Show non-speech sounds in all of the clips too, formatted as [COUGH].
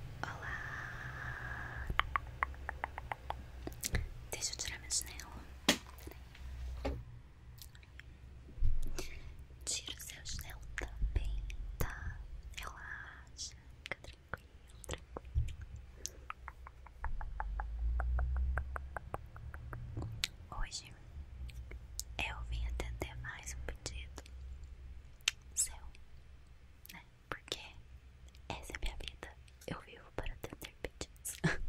Olá! Deixa eu tirar minha janela. Tira o seu chinelo também, tá? Relaxa, fica tranquilo, tranquilo. Hoje eu vim atender mais um pedido seu, né? Porque essa é a minha vida. Eu vivo para ter pedidos. [LAUGHS]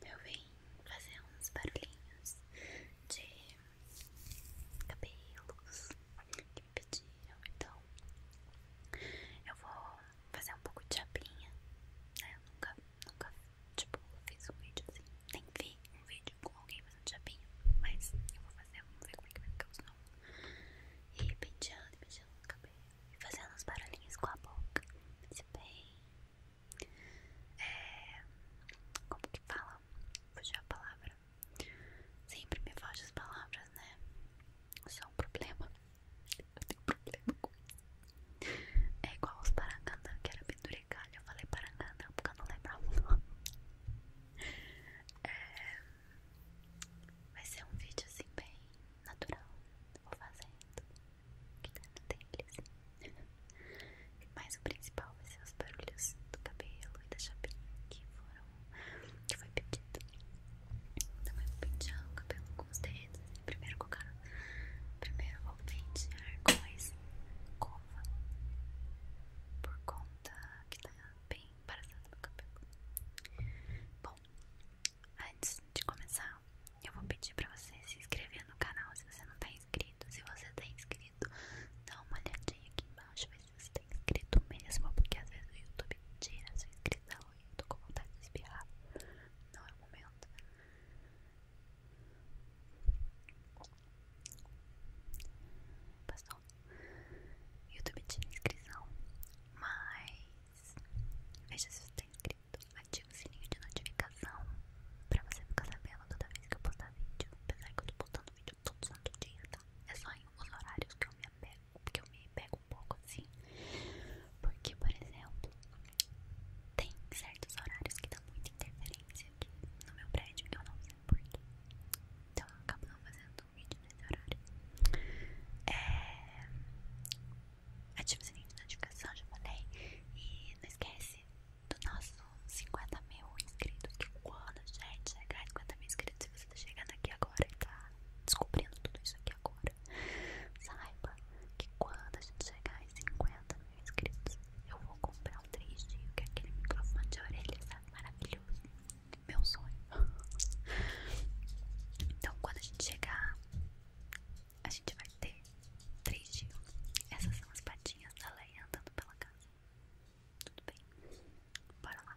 eu vim fazer uns barulhinhos de cabelos que me pediram. Então, eu vou fazer um pouco de chapinha. Eu né? nunca, nunca, tipo, fiz um vídeo assim. Nem vi um vídeo com alguém mas não tinha bem mas eu vou fazer, vamos ver como é que vai ficar os nomes. E penteando, penteando o cabelo e fazendo uns barulhinhos com a boca. Se bem. É, como que fala? fugir a palavra. Sempre me foge as palavras, né? Isso é um problema. Eu tenho problema com isso. É igual os paracandã, que era bem explicar. Eu falei para Parangana porque eu não lembrava o nome. [LAUGHS] É, vai ser um vídeo assim bem natural. Vou fazendo. Que tá no tempo assim. [LAUGHS] Mas o principal vai ser os barulhos do cabelo e da chapinha que foram. que foi pedido. também então, eu vou pentear o cabelo com os dedos. Assim, primeiro o cara. Primeiro eu vou pentear com esse escova por conta que tá bem embarazada no cabelo. Bom, antes de começar, eu vou pedir pra você se inscrever no canal se você não tá inscrito. Se você tá inscrito, dá uma olhadinha aqui embaixo, ver se você tá inscrito mesmo, porque às vezes o YouTube tira a sua inscrição e eu tô com vontade de espirrar. Não é o momento. Passou YouTube tinha inscrição Mas Veja se você está inscrito Ativa o sininho de notificação Pra você ficar sabendo toda vez que eu postar vídeo Apesar que eu tô postando vídeo todo santo dia, tá? É só em os horários que eu me apego Porque eu me pego um pouco assim Porque, por exemplo Tem certos horários que dão muita interferência no meu prédio, eu não sei porquê. Então eu acabo não fazendo um vídeo nesse horário. ative é, Ativa o sininho de notificação, já falei. E não esquece do nosso 50 mil inscritos. Que quando a gente chegar a 50 mil inscritos, se você tá chegando aqui agora e tá descobrindo tudo isso aqui agora, saiba que quando a gente chegar em 50, inscritos, eu vou comprar um 3D, que é aquele microfone de orelha, tá Maravilhoso. Meu sonho. Então, quando a gente chegar, a gente vai ter 3D. Essas são as patinhas da Leia andando pela casa. Tudo bem? Bora lá.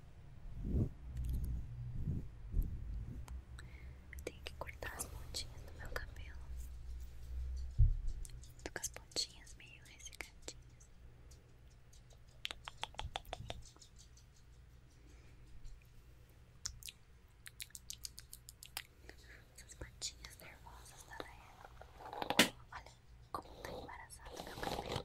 Eu tenho que cortar as pontinhas do meu cabelo. Tô com as pontinhas meio ressecadinhas. Essas pontinhas nervosas da Leia. Olha como tá embaraçado meu cabelo.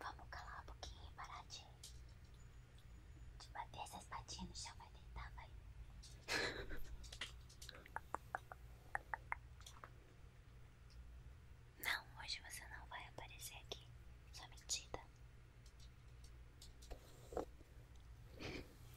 Vamos calar um pouquinho e parar de, bater essas patinhas no chão. Vai deitar, vai. [LAUGHS] Não, hoje você não vai aparecer aqui. Sua mentira.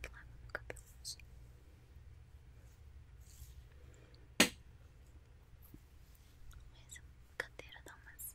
Que lava meu cabelo hoje. Essa cadeira dá umas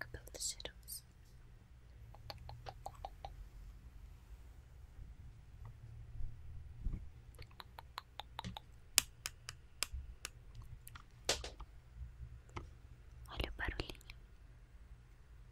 Cabelo tá cheiroso. Olha o barulhinho.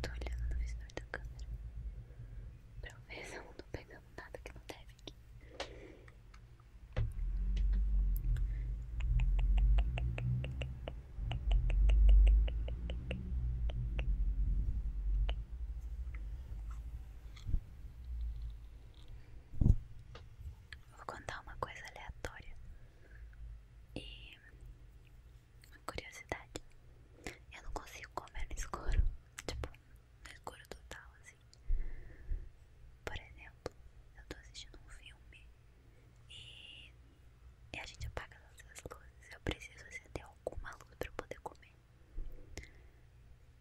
Tô olhando no visor da câmera pra se eu não tô pegando nada que não deve aqui. Vou contar uma coisa aleatória e uma curiosidade. Eu não consigo comer no escuro, [LAUGHS] tipo, no escuro total, assim. Por exemplo, eu tô assistindo um filme e, e a gente apaga todas as luzes. Eu preciso acender alguma luz pra eu poder comer.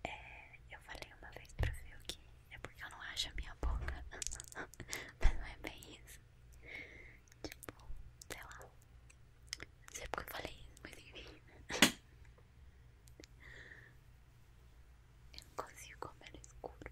É, eu falei uma vez pra ver que é porque eu não acho a minha boca. [LAUGHS] Mas não é bem isso. Tipo, sei lá. Não sei porque eu falei isso, mas enfim. [LAUGHS] eu não consigo comer no escuro.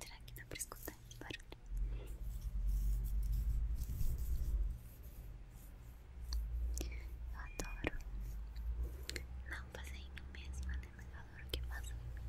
Será que dá pra escutar barulho? Eu adoro não fazer em mim mesma, né? Mas eu adoro que faço em mim.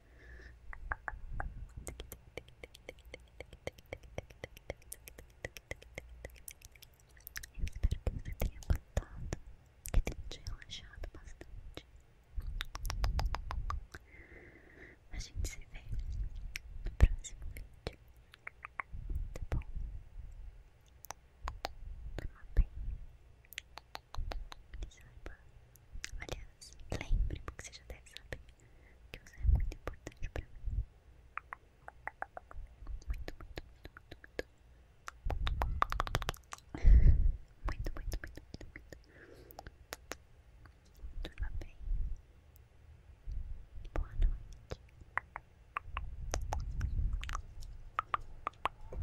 Eu espero que você tenha gostado, que tenha te relaxado bastante. A gente se vê no próximo vídeo. Tá bom? Toma bem. Saiba, aliás, lembre, porque você já deve saber que você é muito importante pra mim. Muito, muito, muito, muito, muito. Muito, muito, muito, muito, muito. Durma bem. Boa noite.